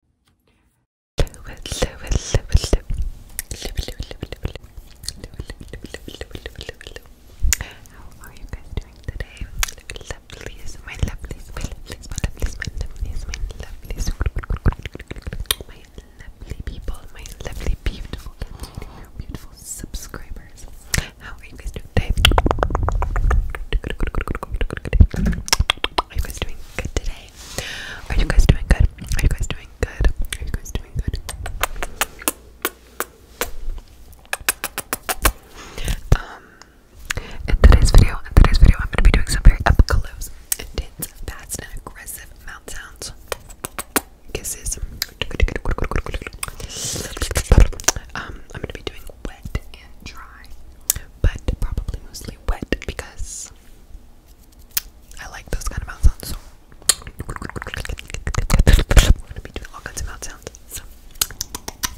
How are you guys doing today? my lovelies, my lovelies, my lovelies, my lovelies, my lovelies, my lovely people, my lovely beautiful, beautiful subscribers. How are you guys doing today? Are you guys doing good today? Are you guys doing good? Are you guys doing good? Are you guys doing good? Um, in today's video, in today's video, I'm gonna be doing some very up close, intense, fast, and aggressive mouth sounds. Kisses. Um, I'm gonna be doing wet and dry, but probably mostly because I like those kind of mouth sounds. So I'm gonna be doing all kinds of mouth sounds. So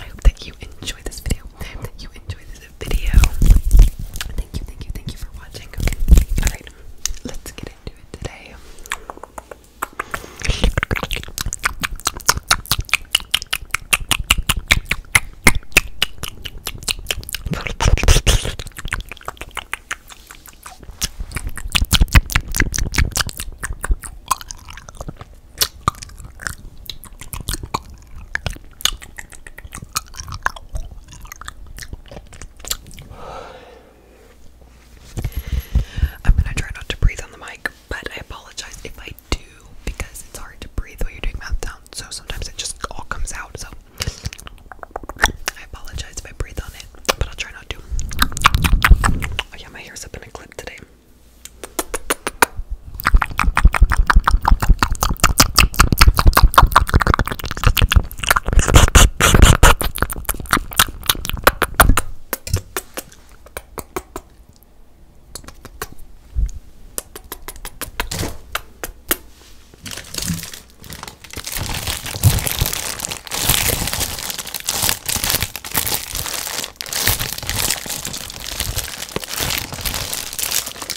hope that you enjoy this video. I hope that you enjoy this video. Thank you, thank you, thank you for watching. Okay, alright, let's get into it today. I'm gonna try not to breathe on the mic, but I apologize if I do because it's hard to breathe when you're doing mouth sounds, so sometimes it just all comes out. So I apologize if I breathe on it, but I'll try not to. Oh, yeah, my hair's up in a clip today.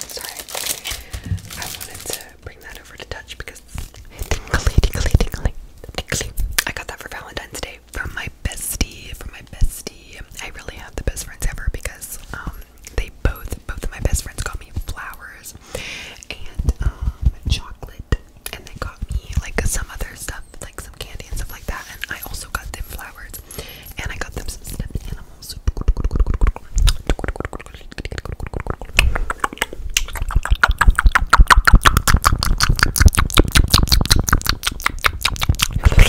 Sorry, I wanted to bring that over to touch because tingly, tingly, tingly, tingly. I got that for Valentine's Day from my bestie, from my bestie. I really have the best friends ever because um, they both both of my best friends got me flowers and um, chocolate and they got me like some other stuff like some candy and stuff like that and I also got them flowers and I got them some stuff.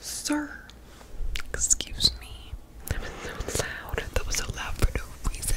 Sir, excuse me. That was loud. That was so loud for no reason.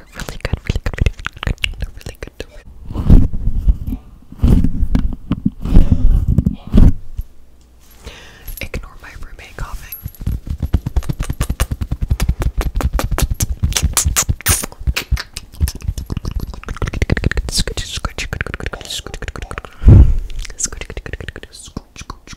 They're really good, really good, really good. They're really good. Ignore my roommate coughing. Scooch, scooch, scooch, scooch, scooch, scooch, scooch, scooch, scooch, scooch,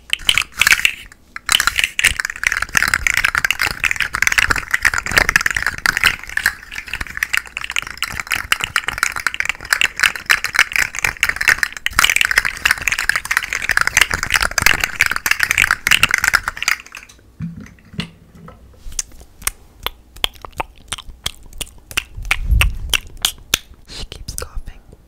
She keeps coughing.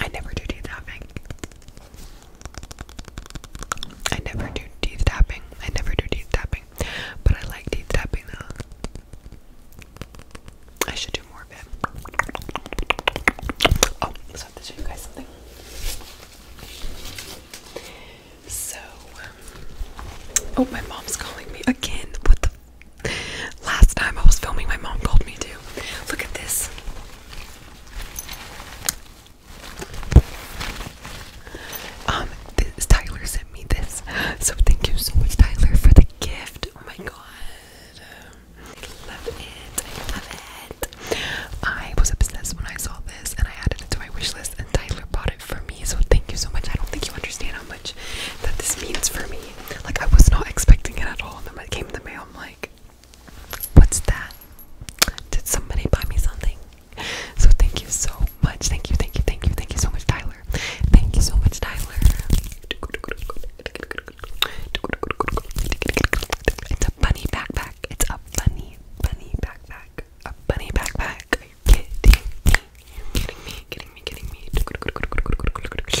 I never do teeth tapping. I never do teeth tapping. I never do teeth tapping. But I like teeth tapping though. I should do more Oh, so I have to show you guys something. So, um, oh, my mom's calling me again. What the? Last time I was filming, my mom called me too. Look at this. Um, this Tyler sent me this, so thank you so much, Tyler, for the gift. Oh my god. Um, I love it. I love it. I was obsessed when I saw this and I added it to my wish list and Tyler bought it for me. So thank you so much. I don't think you understand how much that this means for me. Like I was not expecting it at all. And then when it came in the mail, I'm like, what's that? Did somebody buy me something? So thank you so much. Thank you, thank you, thank you, thank you so much, Tyler. Thank you so much, Tyler. It's a bunny backpack. It's a bunny, bunny backpack. A bunny backpack. Are you kidding me? You're kidding me, kidding me, kidding me. You're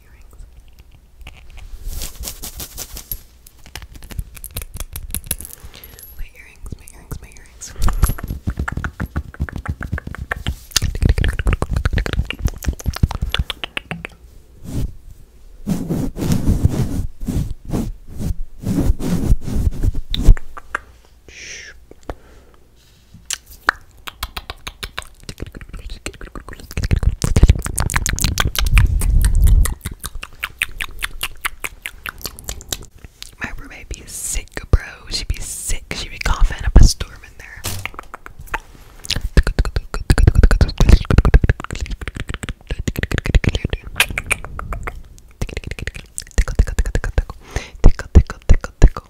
earrings. My earrings, my earrings, my earrings. My roommate be sick, bro. She'd be sick. She'd be coughing up a storm in there.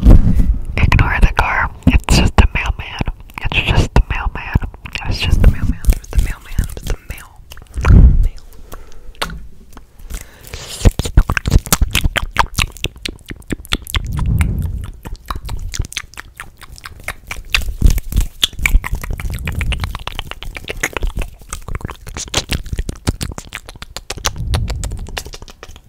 Ignore the car. It's just a mailman. It's just the mailman. It's just the mailman. It's the mailman. It's the mail. Mail.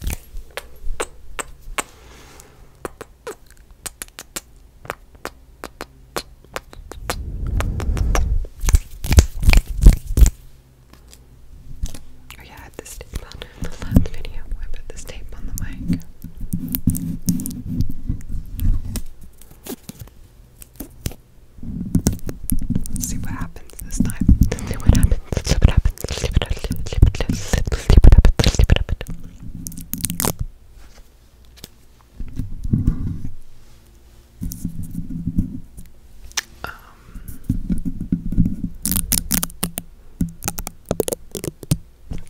Oh yeah, I had this tape on the last video. I put this tape on the mic. Let's see what happens. Um, it's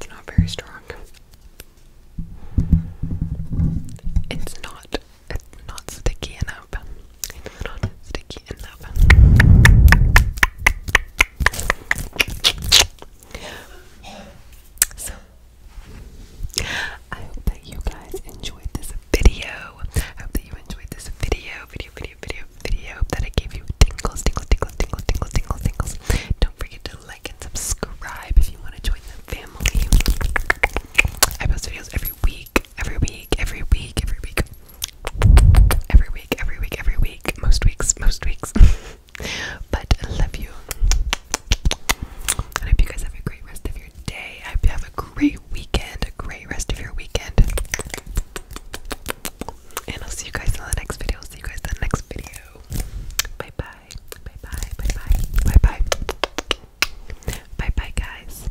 not very strong. It's not. It's not sticky enough. I hope that you guys enjoyed this video. I hope that you enjoyed this video, video, video, video, video. that I gave you tingles, tingles, tingles, tingles, tingles, tingles, tingles. Don't forget to like and subscribe if you want to join the family. I post videos every week every week, every week, every week, every week, every week, every week, most weeks, most weeks. but I love you. I hope you guys have a great rest of your day. I hope you have a great weekend, a great rest of your weekend. And I'll see you guys in the next video. see you guys in the next video. Bye bye. Bye bye. Bye bye. Bye bye. Bye bye, guys.